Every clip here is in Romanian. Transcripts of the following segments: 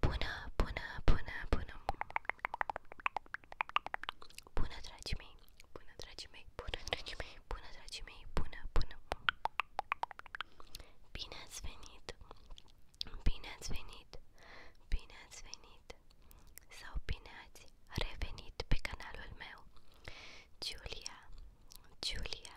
Bună, bună, bună, bună! Bună, dragii mei! Bună, dragii mei! Bună, dragii mei! Bună, dragii mei! Bună, bună! Bine ați venit! Bine ați venit! Bine ați venit! Sau bine ați revenit pe canalul meu! Giulia, Giulia,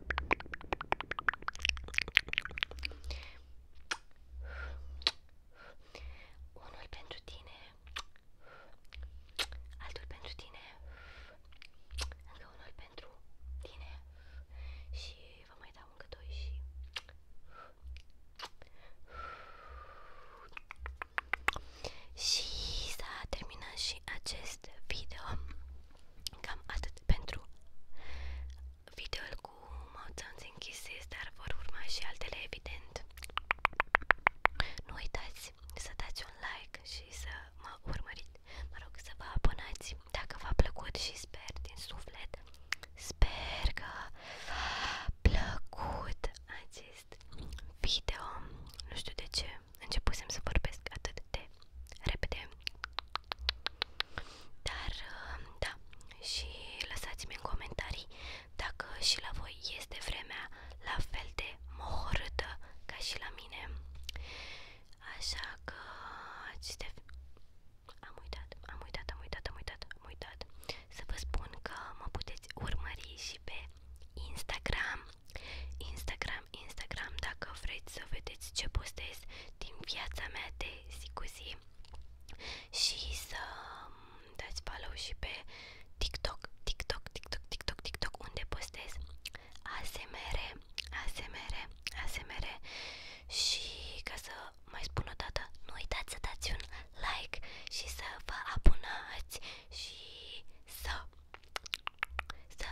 Unul pentru tine, altul pentru tine, încă unul pentru tine și vă mai dau încă doi și... Și s-a terminat și acest video. Cam atât pentru videoul cu mouțanți închise, dar vor urma și altele evident. Nu uitați să dați un like și să mă urmăriți, mă să vă abonați dacă v-a plăcut și sper din suflet, sper că plăcut acest video, nu știu de ce începusem să vorbesc atât de repede dar uh, da, și lăsați-mi în comentarii dacă și la voi este vremea la fel de mohorâtă ca și la mine așa că am uitat, am uitat, am uitat, am uitat, am uitat să vă spun că mă puteți urmări și pe Instagram Instagram, Instagram, dacă vreți să vedeți ce postez din viața mea de zi cu zi și să dați follow și pe TikTok, TikTok, TikTok, TikTok, TikTok, unde postez ASMR, ASMR, ASMR și ca să mai spun o dată, nu uitați să dați un like și să vă abonați și să să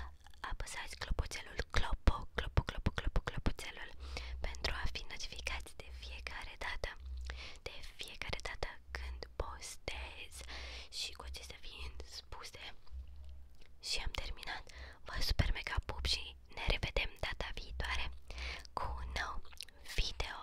apăsați clopoțelul clopo, clopo, clopo, clopo, clopoțelul pentru a fi notificați de fiecare dată, de fiecare dată când postez și cu acestea fiind spuse și am terminat, vă super mega pup și ne revedem data viitoare cu un nou video!